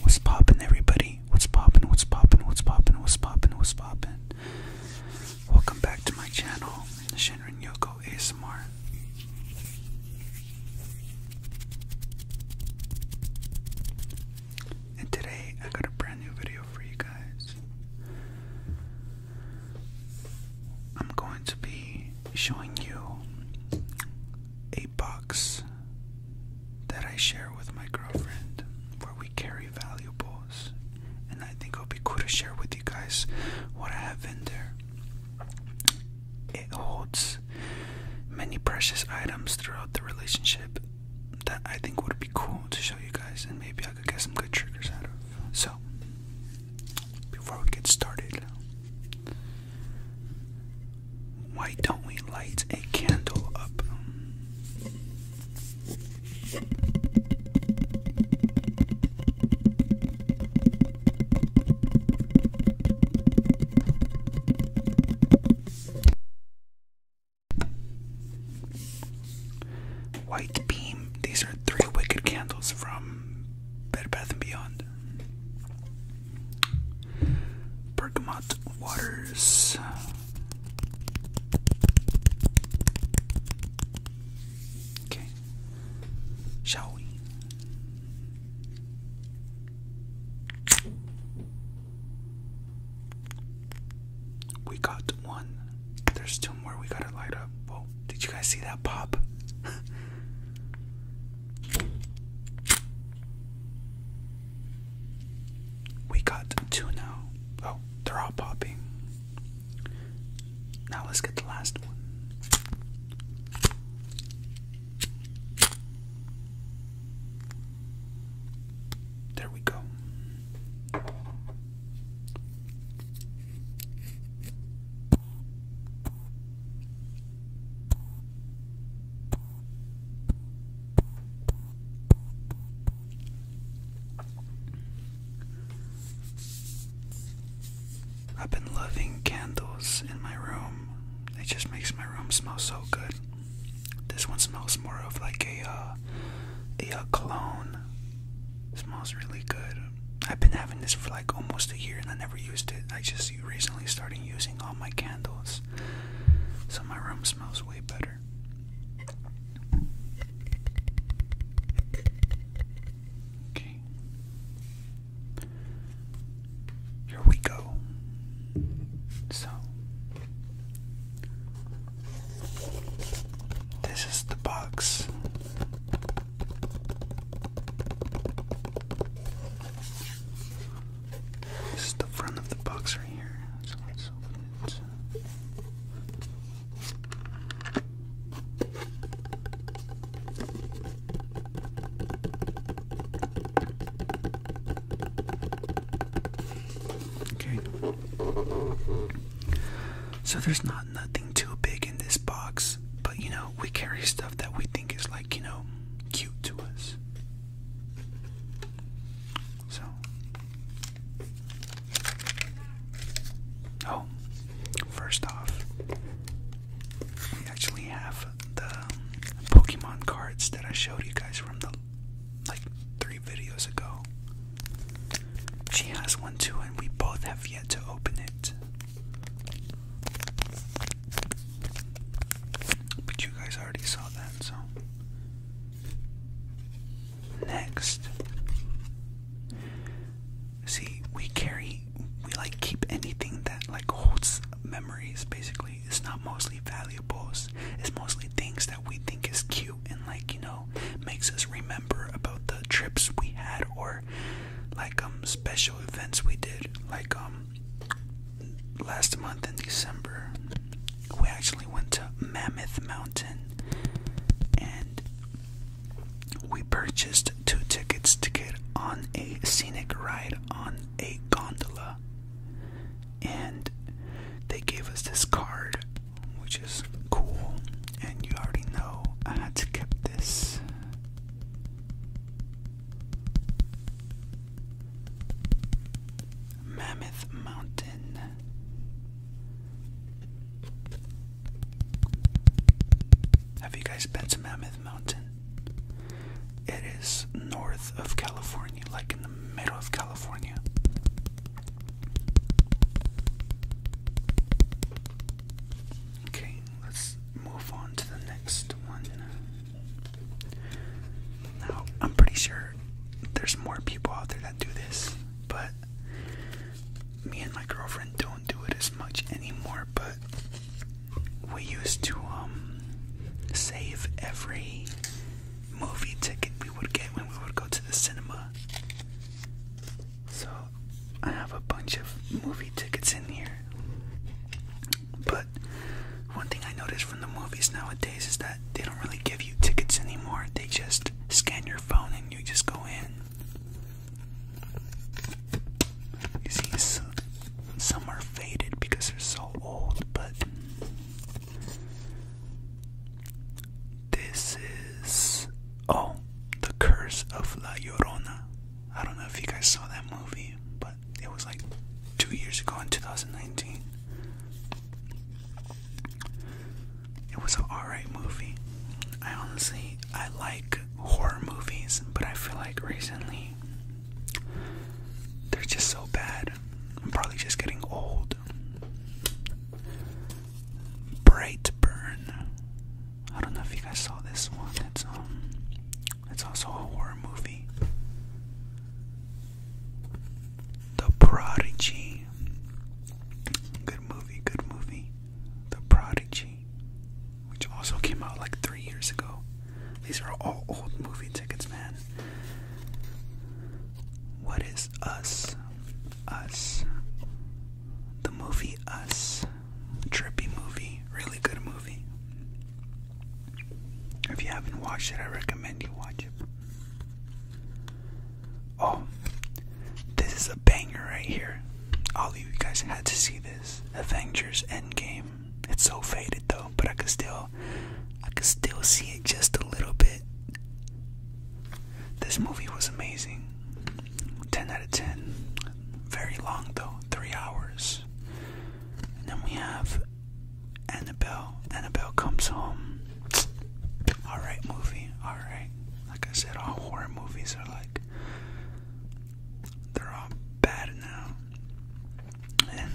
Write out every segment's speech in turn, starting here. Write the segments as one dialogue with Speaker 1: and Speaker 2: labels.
Speaker 1: What's poppin', everybody? What's poppin'? What's poppin'? What's poppin'? What's poppin'? What's poppin'? Welcome back to my channel, Shinrin Yoko ASMR. And today I got a brand new video for you guys. I'm going to be showing you a box that I share with my girlfriend where we carry valuables. And I think it'll be cool to share with you guys what I have in there. It holds many precious items throughout the relationship that I think would be cool to show you guys, and maybe I could get some good triggers out of. So, before we get started, why don't we light a candle up? White Beam. These are three wicked candles from Bed Bath and Beyond. Bergamot Waters. Okay. Shall we? We got one. There's two more we gotta light up. Whoa, did you guys see that pop? We got two now. Oh, they're all popping. Now let's get the last one. There we go. I've been loving candles in my room. It just makes my room smell so good. This one smells more of like a uh, a, cologne. smells really good. I've been having this for like almost a year and I never used it. I just recently started using all my candles. So my room smells way better. Okay. Here we go. So this is the box. This is the front of the box right here. Okay. So there's not nothing too big in this box but you know, we carry stuff that we think is like, you know, cute to us. So. Oh, first off, we actually have the Pokemon cards that I showed you guys from the like three videos ago. She has one too, and we both have yet to open it. But you guys already saw that, so. Next. See, we carry, we like keep anything that like holds memories basically. It's not mostly valuables, it's mostly things that we think is cute and like, you know, makes us remember about the trips we had or like um special events we did like um last month in December we actually went to Mammoth Mountain and we purchased two tickets to get on a scenic ride on a gondola and they gave us this card which is cool and you already know I had to skip this. Mammoth Mountain. Have you guys been to Mammoth Mountain? It is north of California, like in the middle of California. Okay, let's move on to the next one. Now, I'm pretty sure there's more people out there that do this, but me and my girlfriend don't do it as much anymore. But we used to um, save every movie ticket we would get when we would go to the cinema. So I have a bunch of movie tickets in here. But one thing I noticed from the movies nowadays is that they don't really give you tickets anymore. They just scan your phone and you just go in. You see, some are faded because they're so old, but this is oh, The Curse of La Llorona. I don't know if you guys saw that movie, but it was like two years ago in 2019. It was an alright movie. I honestly I like horror movies, but I feel like recently they're just so bad. I'm probably just getting old. Brightburn. I don't know if you guys saw this one. It's um, it's also a horror movie. The Prodigy. Good movie, good movie. The Prodigy, which also came out like three years ago. These are all old movie tickets, man. What is us? Us. The movie Us. Trippy movie. Really good movie. If you haven't watched it, I recommend you watch it. Oh, this is a banger right here. All of you guys had to see this. Avengers Endgame. It's so faded though, but I could still I could still see it just a little bit. This movie was amazing. 10 out of 10. Very long though, 3 hours. And then we have Annabelle. Annabelle comes home. Alright, movie. Alright. Like I said, all horror movies are like. They're all bad now. And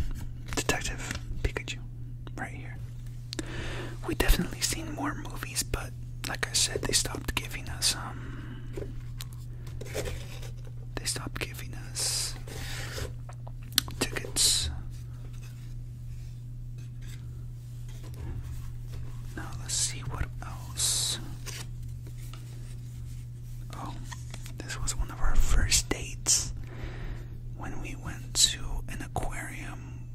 Speaker 1: Detective Pikachu, right here we definitely seen more movies, but like I said, they stopped giving us um they stopped giving us tickets. Now let's see what else. Oh, this was one of our first dates when we went to an aquarium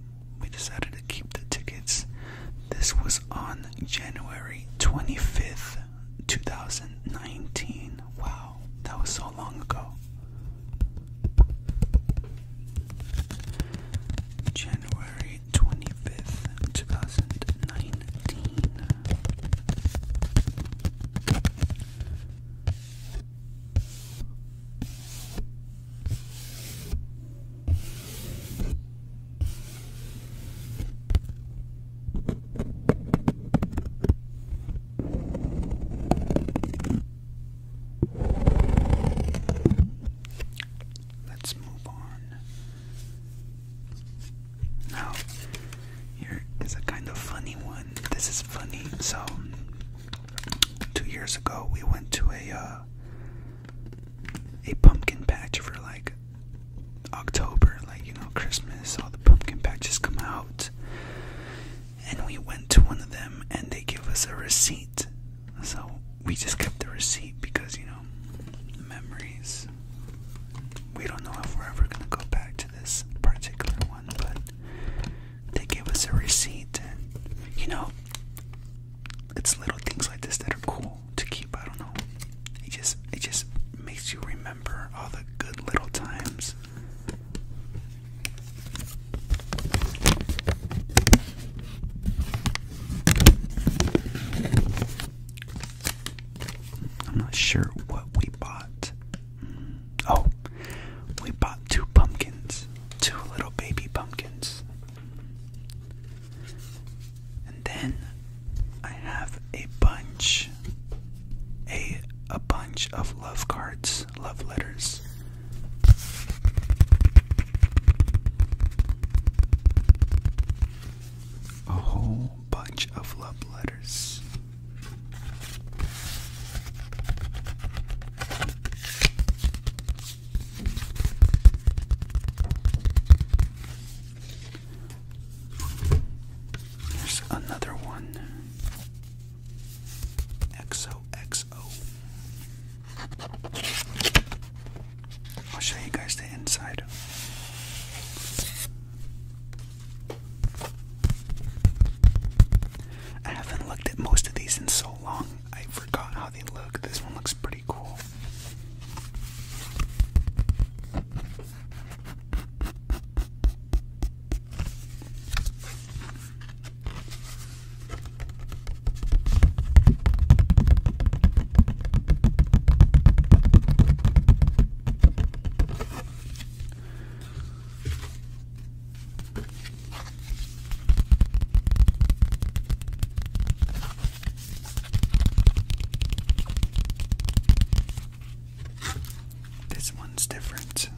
Speaker 1: we decided to keep the tickets. This was on January 25th, 2019. Wow, that was so long ago. January 25th, 2019. Let's move on. Now, here is a kind of funny one. This is funny. So, two years ago, we went to a uh, a pumpkin patch for like October, like you know, Christmas. All the pumpkin patches come out, and we went to one of them, and they gave us a receipt. So we just kept the receipt because you know, memories. We don't know if we're ever gonna go back to this particular one, but they give us a receipt and you know it's little things like this that are cool to keep. I don't know. It just it just makes you remember all the good little times. I'm not sure what we bought. Oh, we bought two pumpkins, two little baby pumpkins. And then I have a bunch a a bunch of love cards, love letters. A whole bunch of love letters. There's another one. XOXO. I'll show you guys the inside. I haven't looked at most of these in so so long I forgot how they look. This one looks pretty cool. This one's different.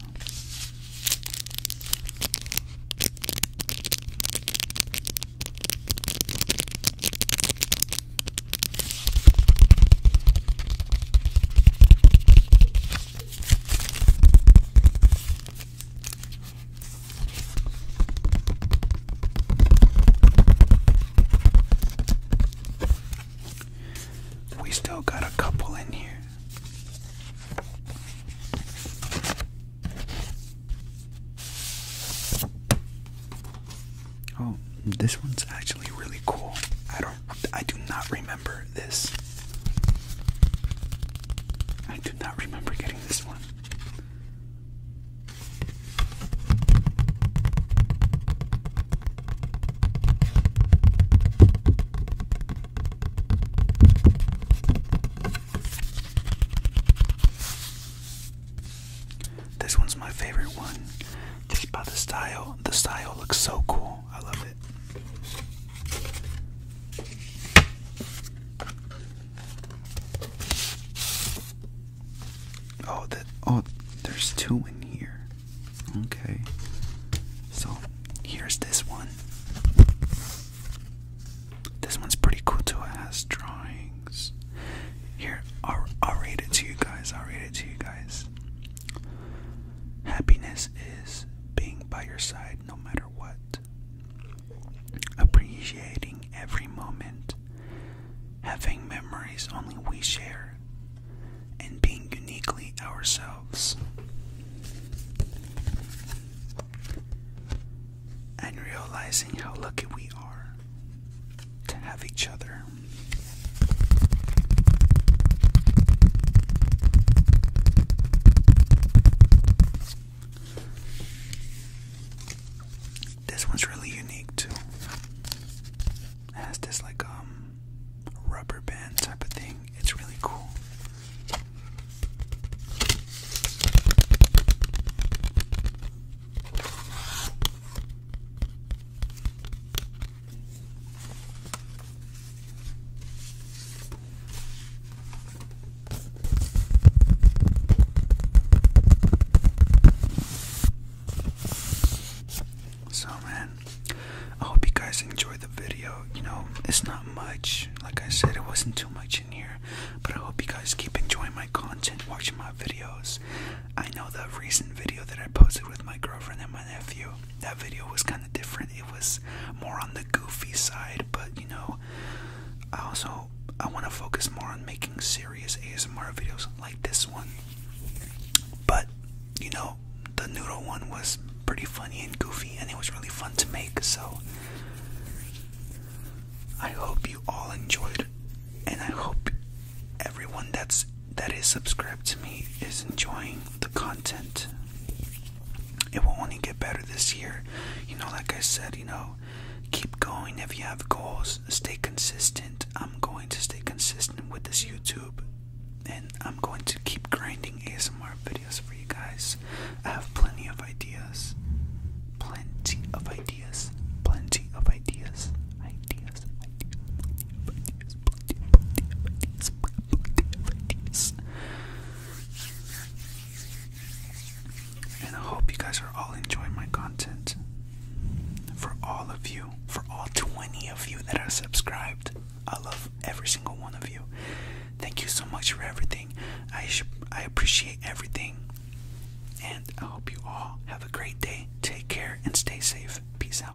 Speaker 1: We still got a couple in here. Oh, this one's actually really cool. I don't I do not remember this. I do not remember getting this one. This one's my favorite one. Just by the style. The style looks so cool. I love it. Oh, that oh, there's two in here. Okay. So, here's this one. This one's pretty cool too. It has drawings. Here, I'll, I'll read it to you guys. I'll read it to you guys. Happiness is being by your side no matter what. Appreciating every moment, having memories only we share, and being uniquely ourselves. And realizing how lucky we are to have each other. This one's really unique too. has this like um rubber band type of thing. It's really cool. So, man, I hope you guys enjoy the video. You know, it's not much. Like I said, it wasn't too much in here. But I hope you guys keep enjoying my content, watching my videos. I know the recent video that I posted with my girlfriend and my nephew. That video was kind of different. It was more on the goofy side, but you know, I also I want to focus more on making serious ASMR videos like this one. But you know, the noodle one was pretty funny and goofy, and it was really fun to make. So I hope you all enjoyed, and I hope everyone that's that is subscribed to me is enjoying the content. It will only get better this year. You know, like I said, you know, keep going if you have goals, stay consistent. I'm going to stay consistent with this YouTube and I'm going to keep grinding ASMR videos for you guys. I have plenty of ideas. Plenty of ideas. Plenty of ideas. Ideas. Ideas. Ideas. Plenty, and I hope you guys are all enjoying my content. For all of you, for all 20 of you that are subscribed, I love every single one of you. Thank you so much for everything. I I appreciate everything. And I hope you all have a great day. Take care and stay safe. Peace out.